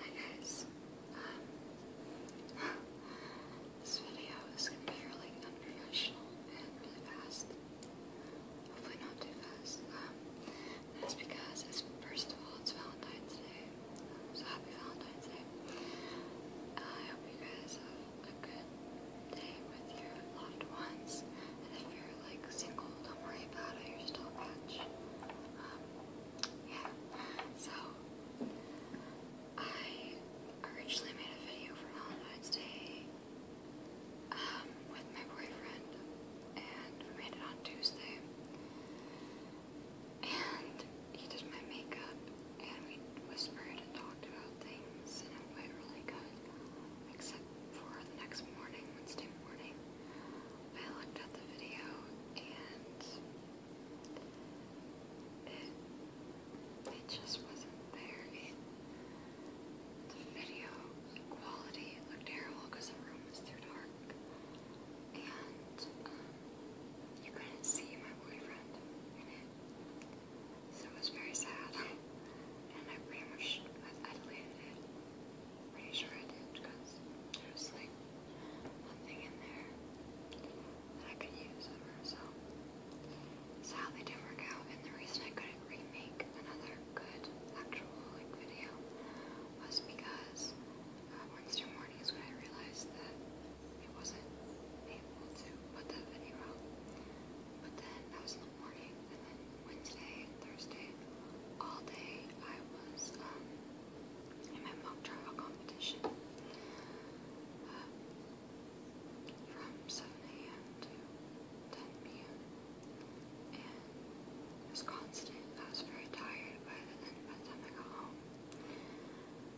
Hi guys. Um, this video is going unprofessional and really fast. Hopefully not too fast. Um, that's because it's first of all it's Valentine's Day, um, so happy Valentine's Day. Uh, I hope you guys have a good day with your loved ones, and if you're like single. Don't worry about it. You're still a um, yeah. So I originally made a video for Valentine's Day um, with my boyfriend, and we made it on Tuesday. And he did my makeup, and we whispered and talked about things, and it went really good. Except for the next morning, Wednesday morning, I looked at the video and it it just wasn't there. the video quality looked terrible because the room was too dark, and um, you couldn't see my boyfriend in it, so it was very sad. and I pretty much I deleted it pretty sure I did because there was like nothing in there that I could use ever, so sadly didn't work out. And the reason I couldn't remake another good actual like video was because uh, Wednesday morning is when I realized that I wasn't able to put that video out. But then I was in the morning and then Wednesday Thursday, all day I was um, in my mock trial competition uh, from 7 a.m. to 10 p.m. And it was constant. I was very tired by the, end, by the time I got home.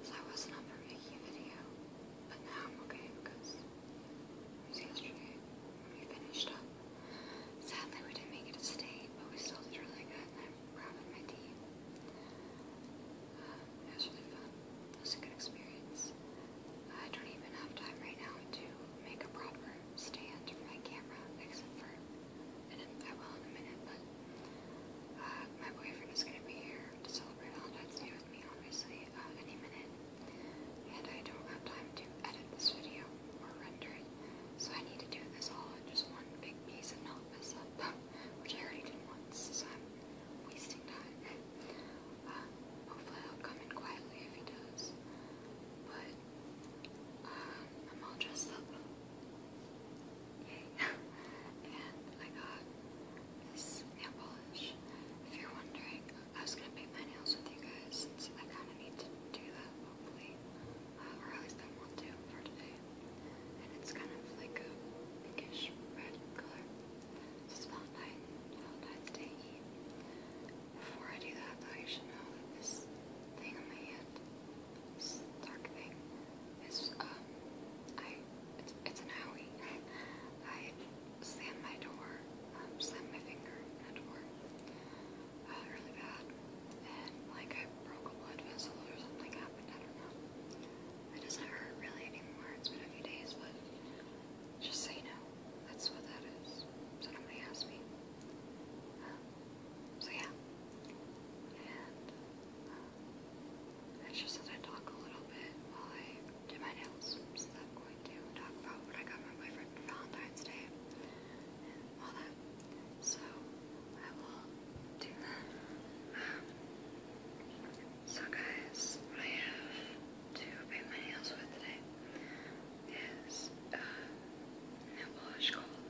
So I wasn't up for making a video, but now I'm okay because it was yesterday when we finished up. Sadly, we didn't make it to state, but we still did really good, I'm proud my team. Uh, it was really fun. It was a good experience. I don't even have time right now to make a proper stand for my camera, except for, and I will in a minute, but uh, my boyfriend is going to be here to celebrate all Valentine's Day with me, obviously, uh, any minute. And I don't have time to edit this video or rendering. So I need to do this all in just one big piece and not mess up, which I already did once, so I'm wasting time. Um, hopefully he'll come in quietly if he does. But um, I'm all dressed up. Yay. and I got this nail polish. If you're wondering, I was gonna paint my nails with you guys since I kinda need to do that hopefully, uh, or at least I want to for today. And it's kind of like a pinkish red color. This is Valentine, Valentine's Day Before I do that, though, you should know that this thing on my hand, this dark thing, is um, I it's, an owie. I slam my door, slam um, my finger in a door really bad, and like I broke a blood vessel or something happened. I don't know. It doesn't hurt really anymore. It's been a few days, but just say no. That's what that is. So nobody asked me. Um, so yeah, and um, just that I talk a little bit while I do my nails. So I'm going to talk about what I got my boyfriend Valentine's Day, all So I will do that. so guys, what I have to paint my nails with today is a nail polish called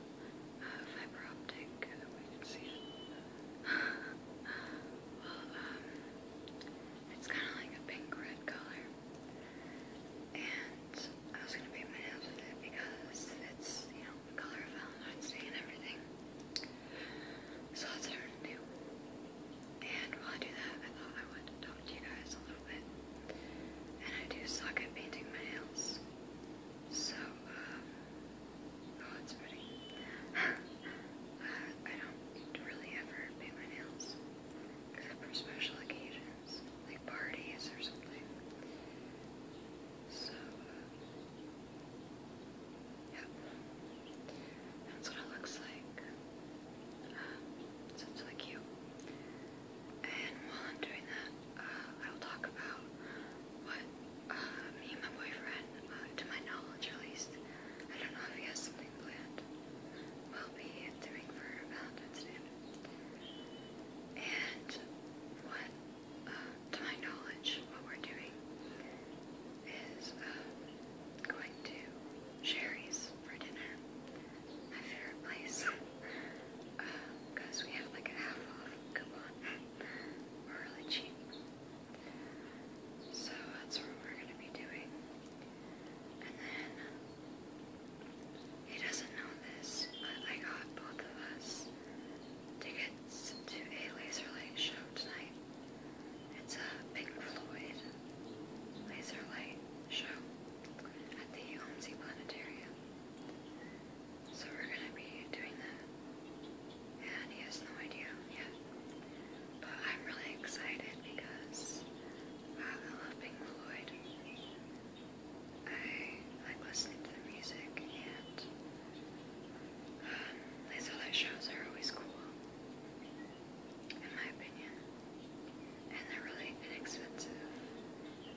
uh, Fiber Optic. you see it. it's kind of like a pink red color. I was gonna paint my nails with it because it's, you know, the color of Valentine's Day and everything. So that's what I'm gonna do. And while I do that, I thought I would talk to you guys a little bit. And I do suck at painting my nails. So, um, oh, it's pretty. I don't really ever paint my nails. Except for special occasions events, like parties or something. So, uh, yeah, that's what it looks like. Um, so it's really cute. And while I'm doing that, uh, I will talk about what uh, me and my boyfriend, uh, to my knowledge at least, I don't know if he has something planned, will be doing for Valentine's Day. And what, uh, to my knowledge, what we're doing is uh, going to Sherry's for dinner. My favorite place. Because uh, we have like a half off coupon. really cheap. So that's what we're going to be doing. And then he doesn't know this, but I got both of us tickets to a laser light show tonight. It's a Pink Floyd laser light show at the Homsey Planetarium. So we're gonna be doing that. And he has no idea yet. But I'm really excited because I love Pink Floyd. I like listening to the music, and um, these other shows are always cool, in my opinion. And they're really inexpensive.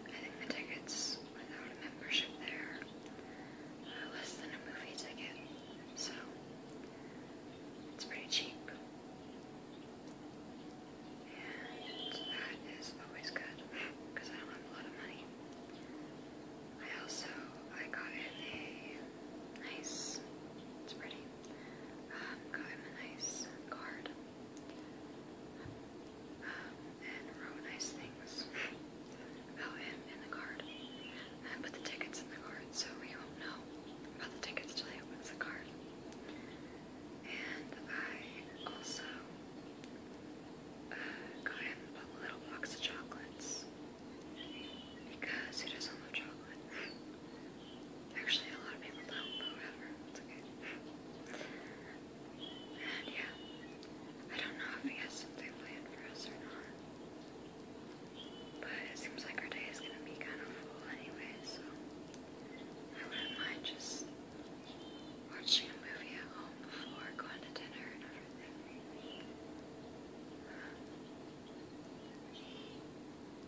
I think the tickets without a membership there are less than a movie ticket, so it's pretty cheap and that is always good because I don't have a lot of money. I also I got him a nice, it's pretty. Um, got him a nice card um, and wrote nice things about him in the card. And I put the tickets in the card, so we won't know about the tickets till he opens the card. And I also uh, got him a little box of chocolates because who doesn't love chocolate? Actually, a lot of people don't, but whatever, it's okay. And yeah, I don't know if he has something planned for us or not. But it seems like our day is gonna be kind of full anyway, so I wouldn't mind just Watching a movie at home before going to dinner and everything.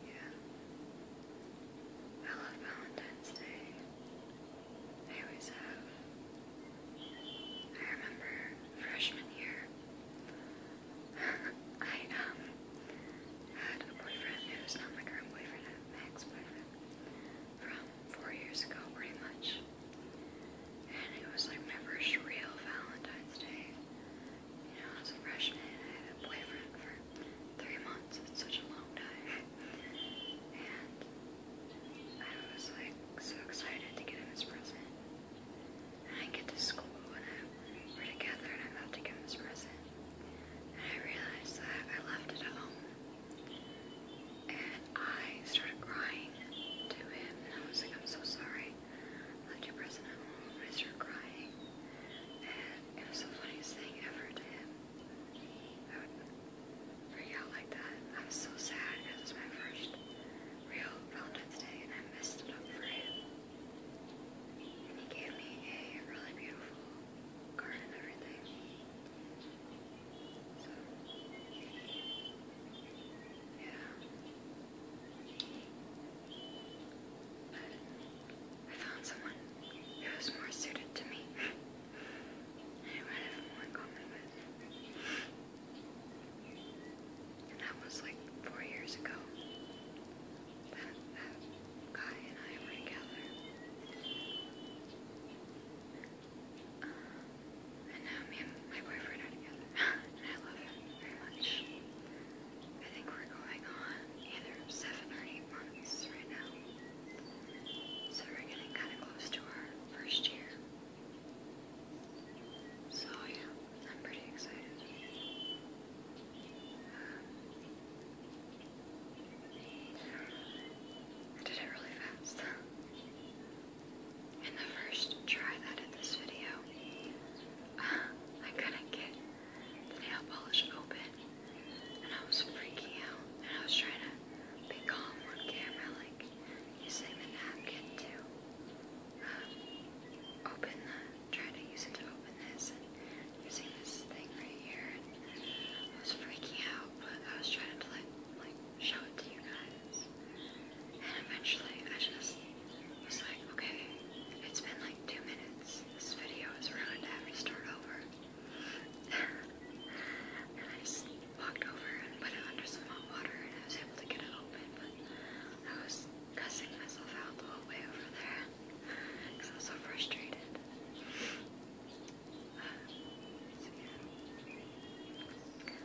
Yeah. I love Valentine's Day. I always have. I remember freshman year. I um had a boyfriend who was not my current boyfriend, I ex boyfriend from four years ago, pretty much. And it was like my first real Valentine's Day. You know, as a freshman, I had a boyfriend for three months. It's such a long time. And I was like so excited to get him his present. I get to school and I, we're together and I'm about to give him this present. I realized that I left it at home. And I started crying to him, I was like, I'm so sorry. I left your present at home. I started crying. And it was the funniest thing ever to him. I would freak out like that. I was so sad because it was my first real Valentine's Day, and I messed it up for him. And he gave me a really beautiful card and I found someone who was more suited to me. I might more in common with. And that was like four years ago. Uh, Kai and I were together. Uh, and now me and my boyfriend are together. and I love him very much. I think we're going on either seven or eight months right now. So we're getting kind of close to our first year. So yeah, I'm pretty excited. I did it really fast. In the first try that at this video, I couldn't get the nail polish open, and I was freaking out, and I was trying to be calm on camera, like using the napkin to uh, open the, trying to use it to open this, using this thing right here. I was freaking out, but I was trying to like, like show it to you guys. And eventually, I just was like, okay, it's been like two minutes. This video is ruined. I have to start over. and I just walked over and put it under some hot water, and I was able to get it open. But I was cussing myself out the whole way over there because I was so frustrated.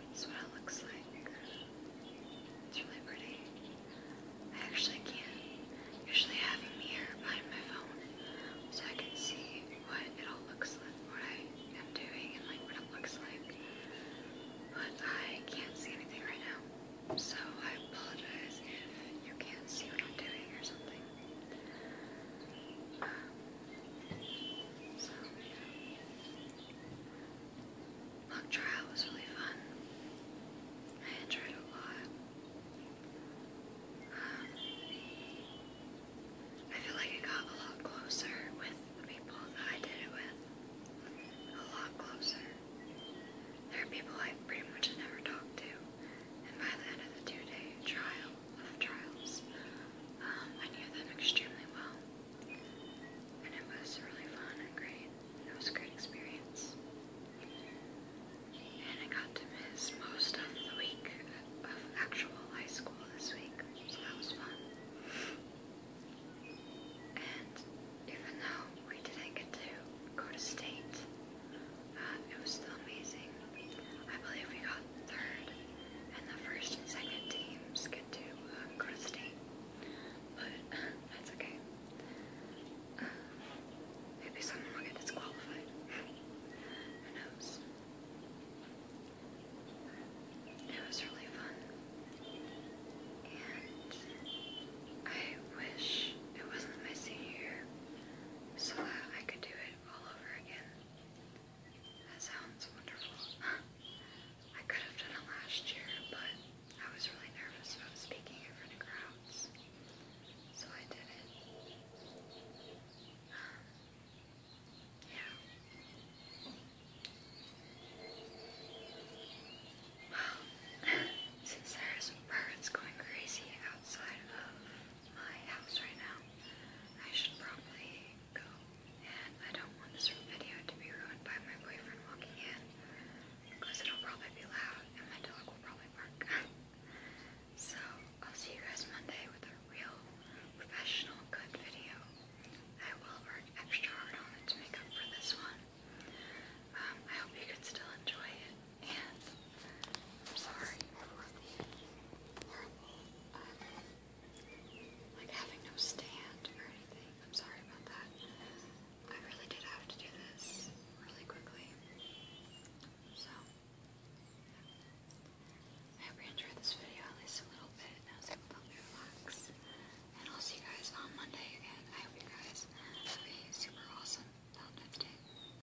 That's what it looks like. It's really pretty. I actually can't usually have a mirror behind my phone so I can see what it all looks like, what I am doing, and like what it looks like. But I can't see anything right now, so I apologize you can't see what I'm doing or something. So, yeah. Mock trial was really fun. I enjoyed it a lot. Um, I feel like I got a lot closer with the people that I did it with. A lot closer. There are people I pretty much never talked to, and by the end of the two-day trial, of trials. Um, I knew them extremely well, and it was really fun and great. It was a great experience, and I got to miss most of the week of actual high school this week, so that was fun. And even though we didn't get to go to state, it was still amazing. I believe we got third, and the first and second teams get to uh, go to state. But that's okay. Uh, maybe someone will get disqualified. Who knows? It was really fun. And I wish it wasn't my senior year so that I could do it all over again. That sounds wonderful. I could have done it last year, but I was really nervous about speaking in front of crowds, so I did it. Um, yeah. Well, since there's birds going crazy outside of my house right now. I should probably go. And I don't want this video to be ruined by my boyfriend walking in. Because it'll probably be loud and my dog will probably bark. so I'll see you guys Monday with a real professional good video. I will work extra hard on it to make up for this one. Um, I hope you could still enjoy it and I'm sorry for the horrible, um, like having no stand or anything. I'm sorry about that. I really did have to do this really quickly. So, I hope you enjoyed this video at least a little bit. And I was able to relax. And I'll see you guys on Monday again. I hope you guys have a super awesome Valentine's Day.